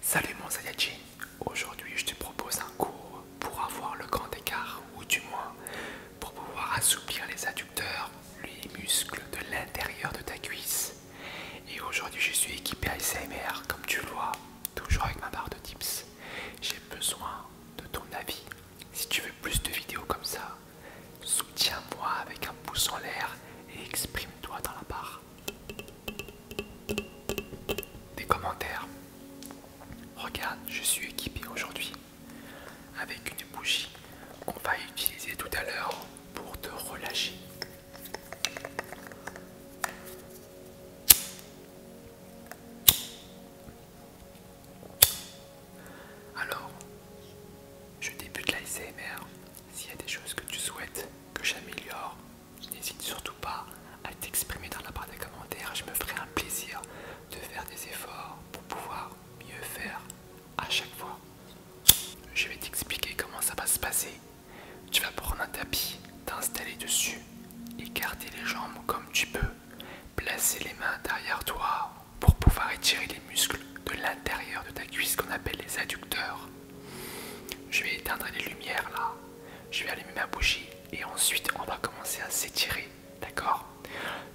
Salut mon Saiyajin, aujourd'hui je te propose un cours pour avoir le grand écart ou du moins pour pouvoir assouplir les adducteurs, les muscles de l'intérieur de ta cuisse. Et aujourd'hui je suis équipé ASMR comme tu le vois, toujours avec ma barre de tips. J'ai besoin de ton avis. Si tu veux plus de vidéos comme ça, soutiens-moi avec un pouce en l'air et exprime-toi dans la barre. Des commentaires. Regarde, je suis équipé aujourd'hui avec une bougie qu'on va utiliser tout à l'heure pour te relâcher. Alors, je débute la ICMR. S'il y a des choses que tu souhaites que j'améliore, n'hésite surtout pas à t'exprimer dans la barre des commentaires. Je me ferai un plaisir de faire des efforts pour pouvoir mieux faire à chaque fois. Je vais t'expliquer comment ça va se passer. Tu vas prendre un tapis, t'installer dessus, écarter les jambes comme tu peux, placer les mains derrière toi pour pouvoir étirer les muscles de l'intérieur de ta cuisse qu'on appelle les adducteurs. Je vais éteindre les lumières là. Je vais allumer ma bougie et ensuite on va commencer à s'étirer. D'accord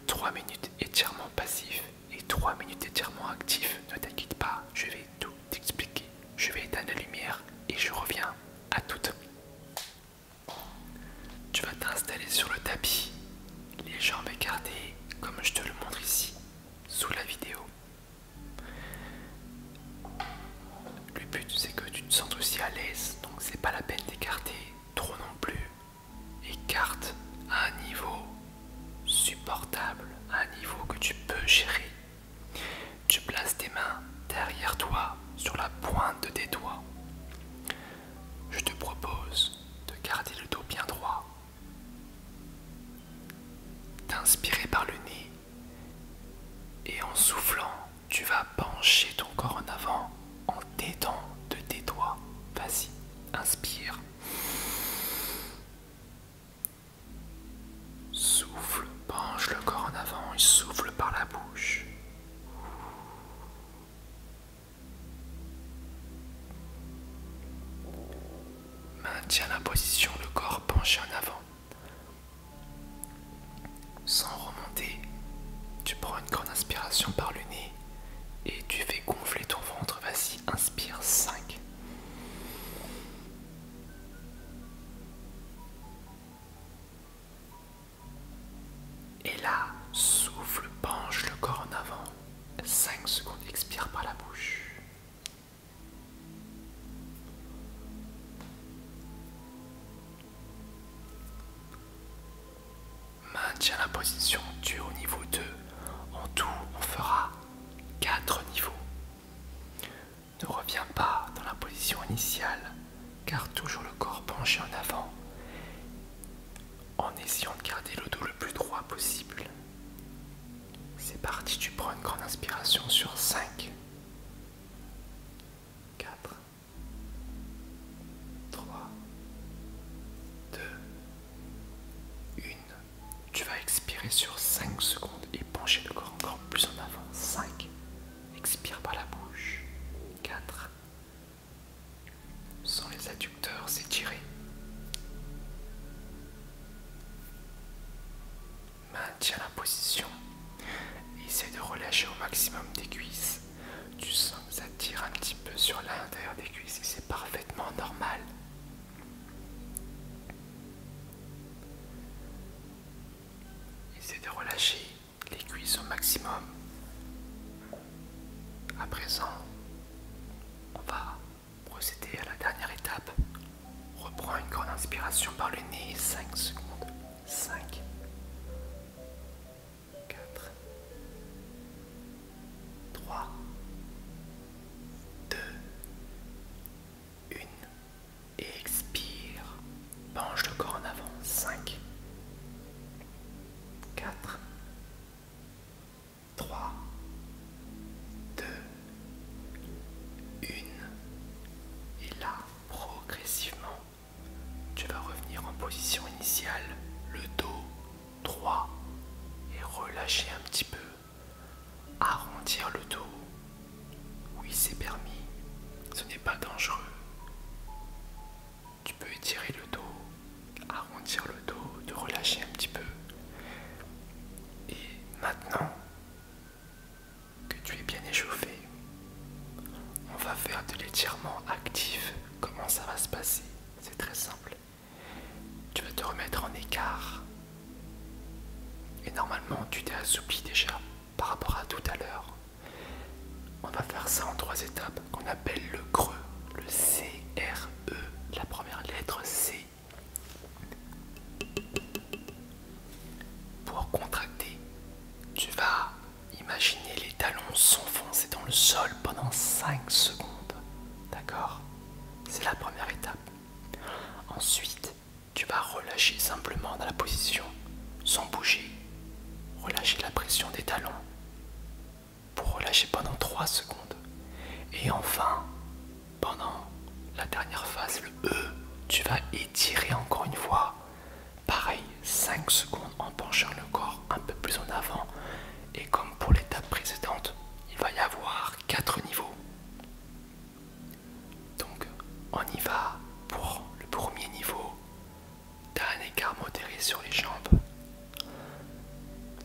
3 minutes étirement passif et 3 minutes étirement actif. Ne t'inquiète pas, je vais tout t'expliquer. Je vais éteindre la lumière et je reviens à toute. Tu vas t'installer sur le tapis, les jambes écartées comme je te le montre ici, sous la vidéo. Le but c'est que tu te sentes aussi à l'aise, donc c'est pas la peine d'écarter trop non plus. Écarte à un niveau supportable, à un niveau que tu peux gérer. Tu places tes mains derrière toi, sur la pointe des tes doigts. Je te propose de garder le dos bien droit, d'inspirer par le nez et en soufflant, tu vas pencher ton corps en avant en t'aidant de tes doigts. Vas-y, inspire. Souffle, penche le corps en avant et souffle par la bouche. Maintiens la position, le corps penché en avant. Sans remonter, tu prends une grande inspiration par le nez et tu fais gonfler ton ventre. Vas-y, inspire 5. Et là, souffle, penche le corps en avant. 5 secondes, expire par la bouche. Maintiens la position du haut niveau 2. En tout, on fera 4 niveaux. Ne reviens pas dans la position initiale, car toujours le corps penché en avant, en essayant de garder le dos le plus droit possible. C'est parti, tu prends une grande inspiration sur 5. 4, 3, 2, 1. Tu vas expirer sur 5 secondes et pencher le corps encore plus en avant. 5. Expire par la bouche. 4. Sans les adducteurs s'étirer maintiens la position. essaye de relâcher au maximum des cuisses. Tu sens que ça tire un petit peu sur l'intérieur des cuisses et c'est parfaitement normal. essaye de relâcher les cuisses au maximum. À présent, on va procéder à la dernière étape, Reprends une grande inspiration par le nez 5 secondes. 5, 4, 3, 2, 1. Et expire. Penche le corps en avant. 5, 4, 3, 2, une. Et là, progressivement, tu vas revenir en position initiale, le dos droit et relâcher un petit peu, arrondir le dos. Oui, c'est permis, ce n'est pas dangereux. Tu peux étirer le dos, arrondir le dos, te relâcher un petit peu. Et maintenant, que tu es bien échauffé. On va faire de l'étirement actif. Comment ça va se passer C'est très simple. Tu vas te remettre en écart. Et normalement, tu t'es assoupli déjà par rapport à tout à l'heure. On va faire ça en trois étapes qu'on appelle le creux, le C R e La première lettre C pour contracter, tu vas imaginer les talons s'enfoncer dans le sol pendant 5 secondes. D'accord C'est la première étape. Ensuite, tu vas relâcher simplement dans la position sans bouger. Relâcher la pression des talons pour relâcher pendant 3 secondes. Et enfin, pendant la dernière phase, le E, tu vas étirer encore une fois. Pareil, 5 secondes en penchant le corps un peu plus en avant. Et comme pour l'étape précédente, il va y avoir 4 niveaux. Donc, on y va pour le premier niveau. Tu as un écart modéré sur les jambes.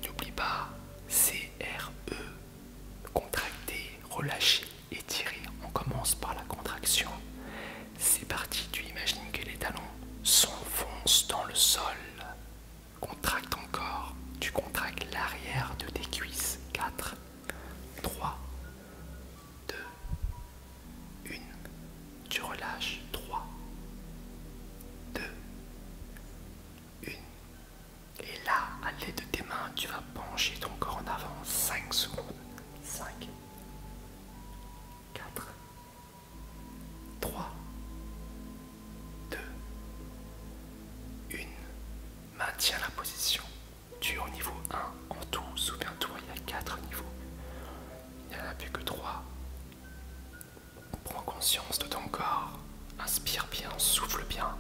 N'oublie pas, CRE, contracté, relâché, étirer. On commence par la contraction. C'est parti, tu imagines que les talons s'enfoncent dans le sol. Contracte encore. Tu contractes l'arrière de tes cuisses. 4, 3, 2, 1. Tu relâches. 3, 2, 1. Et là, à l'aide de tes mains, tu vas pencher ton corps en avant 5 secondes. 5, 4, 3, 2, 1. Maintiens la position. Tu es au niveau 1 en tout. Souviens-toi, il y a 4 niveaux. Il n'y en a plus que 3. Prends conscience de ton corps. Inspire bien, souffle bien.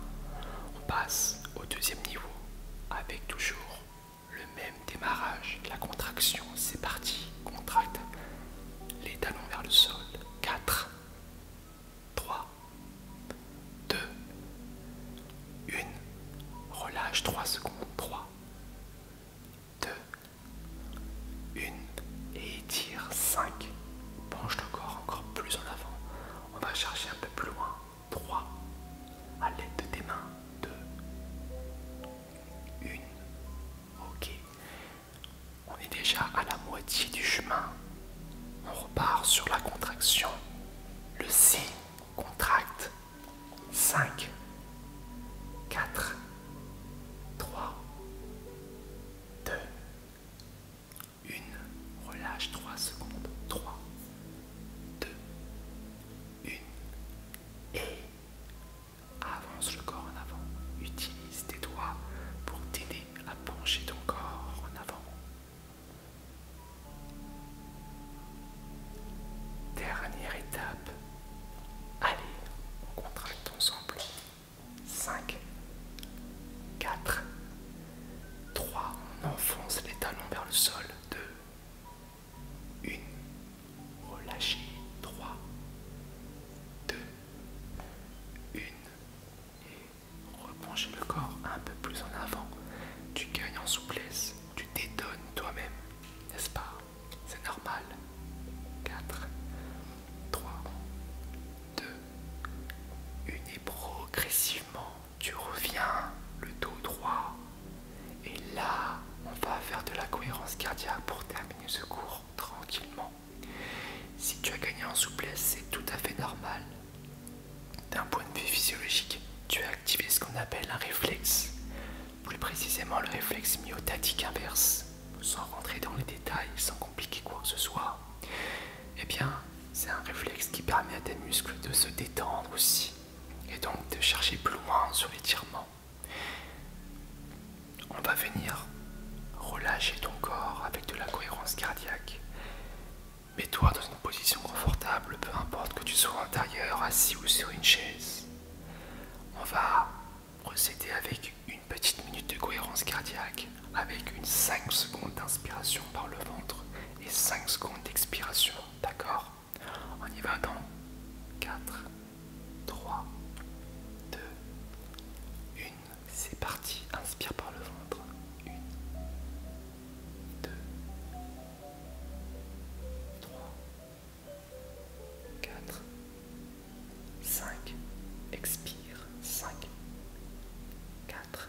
On passe au deuxième niveau avec toujours le même démarrage, la contraction, c'est parti, contracte les talons vers le sol, 4, 3, 2, 1, relâche 3 secondes, 3, 2, 1, et étire 5, penche le corps encore plus en avant, on va chercher un peu plus loin, 3. À l'aide de tes mains. 2. 1. Ok. On est déjà à la moitié du chemin. On repart sur la contraction. Le C contracte. 5. 4. 3. 2. Une, relâche 3 secondes, 3, 2, 1, et avance le corps en avant, utilise tes doigts pour t'aider à pencher ton corps en avant. Dernière étape, allez, on contracte ensemble. 5, 4, 3. On enfonce les talons vers le sol. 2. 1. Relâchez. 3. 2. 1. Et replongez le corps un peu plus en avant. Tu gagnes en souplesse. Tu t'étonnes toi-même. N'est-ce pas C'est normal. 4. 3. 2. 1. Et progressivement tu reviens le dos droit. Et là, on va faire de la cohérence cardiaque pour terminer ce cours tranquillement. Si tu as gagné en souplesse, c'est tout à fait normal. D'un point de vue physiologique, tu as activé ce qu'on appelle un réflexe, plus précisément le réflexe myotatique inverse, sans rentrer dans les détails, sans compliquer quoi que ce soit. Eh bien, c'est un réflexe qui permet à tes muscles de se détendre aussi et donc de chercher plus loin sur l'étirement. On va venir relâcher ton corps avec de la cohérence cardiaque. Mets-toi dans une position confortable, peu importe que tu sois intérieur, assis ou sur une chaise. On va procéder avec une petite minute de cohérence cardiaque, avec une 5 secondes d'inspiration par le ventre et 5 secondes d'expiration. D'accord On y va dans 4, 3, 2, 1. C'est parti. Inspire par le ventre. 1, 2, 3, 4, 5. Expire. 5, 4,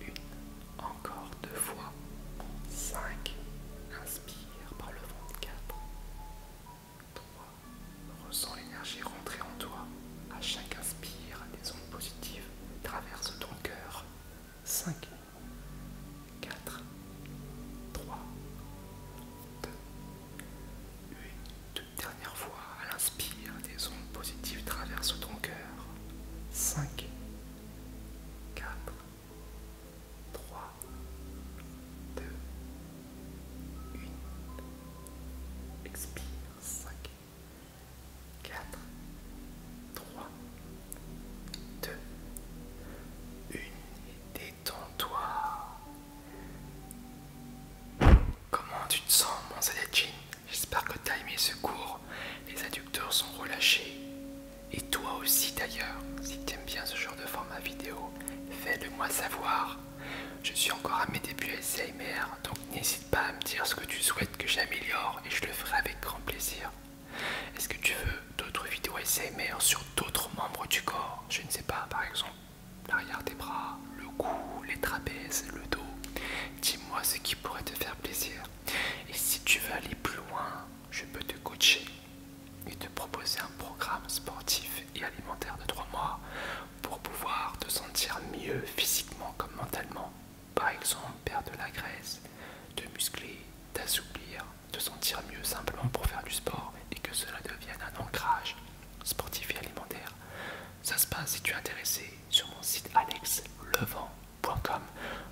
Une, encore deux fois. 5. Inspire par le ventre 4. 3. Ressens l'énergie rentrer en toi. À chaque inspire, des ondes positives traversent ton cœur. 5. 4. 3. 2. Une toute dernière fois, à l'inspire, des ondes positives traversent ton cœur. 5. 4. 3, 2, 1. Expire. 5, 4, 3, 2, 1. Détends-toi. Comment tu te sens, mon Saladjin J'espère que tu as aimé ce cours. Les adducteurs sont relâchés. Et toi aussi d'ailleurs, si tu aimes bien ce genre de format vidéo, fais-le moi savoir. Je suis encore à mes débuts ASMR, donc n'hésite pas à me dire ce que tu souhaites que j'améliore et je le ferai avec grand plaisir. Est-ce que tu veux d'autres vidéos ASMR sur d'autres membres du corps Je ne sais pas, par exemple l'arrière des bras, le cou, les trapèzes, le dos. Dis-moi ce qui pourrait te faire plaisir. Et si tu veux aller plus loin, je peux te coacher et te proposer un programme sportif et alimentaire de 3 mois pour pouvoir te sentir mieux physiquement comme mentalement. Par exemple, perdre de la graisse, te muscler, t'assouplir, te sentir mieux simplement pour faire du sport et que cela devienne un ancrage sportif et alimentaire. Ça se passe si tu es intéressé sur mon site Alex Levant.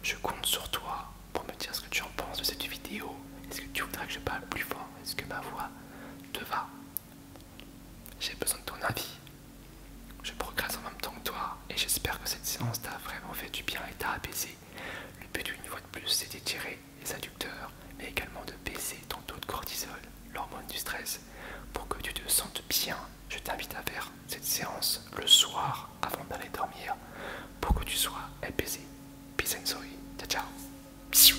Je compte sur toi pour me dire ce que tu en penses de cette vidéo. Est-ce que tu voudrais que je parle plus fort Est-ce que ma voix te va J'ai besoin de ton avis. Je progresse en même temps que toi et j'espère que cette séance t'a vraiment fait du bien et t'a apaisé. Le but d'une fois de plus c'est d'étirer les adducteurs mais également de baisser ton taux de cortisol, l'hormone du stress, pour que tu te sentes bien. Je t'invite à faire cette séance le soir avant d'aller dormir pour que tu sois apaisé. Peace and sorry. Ciao,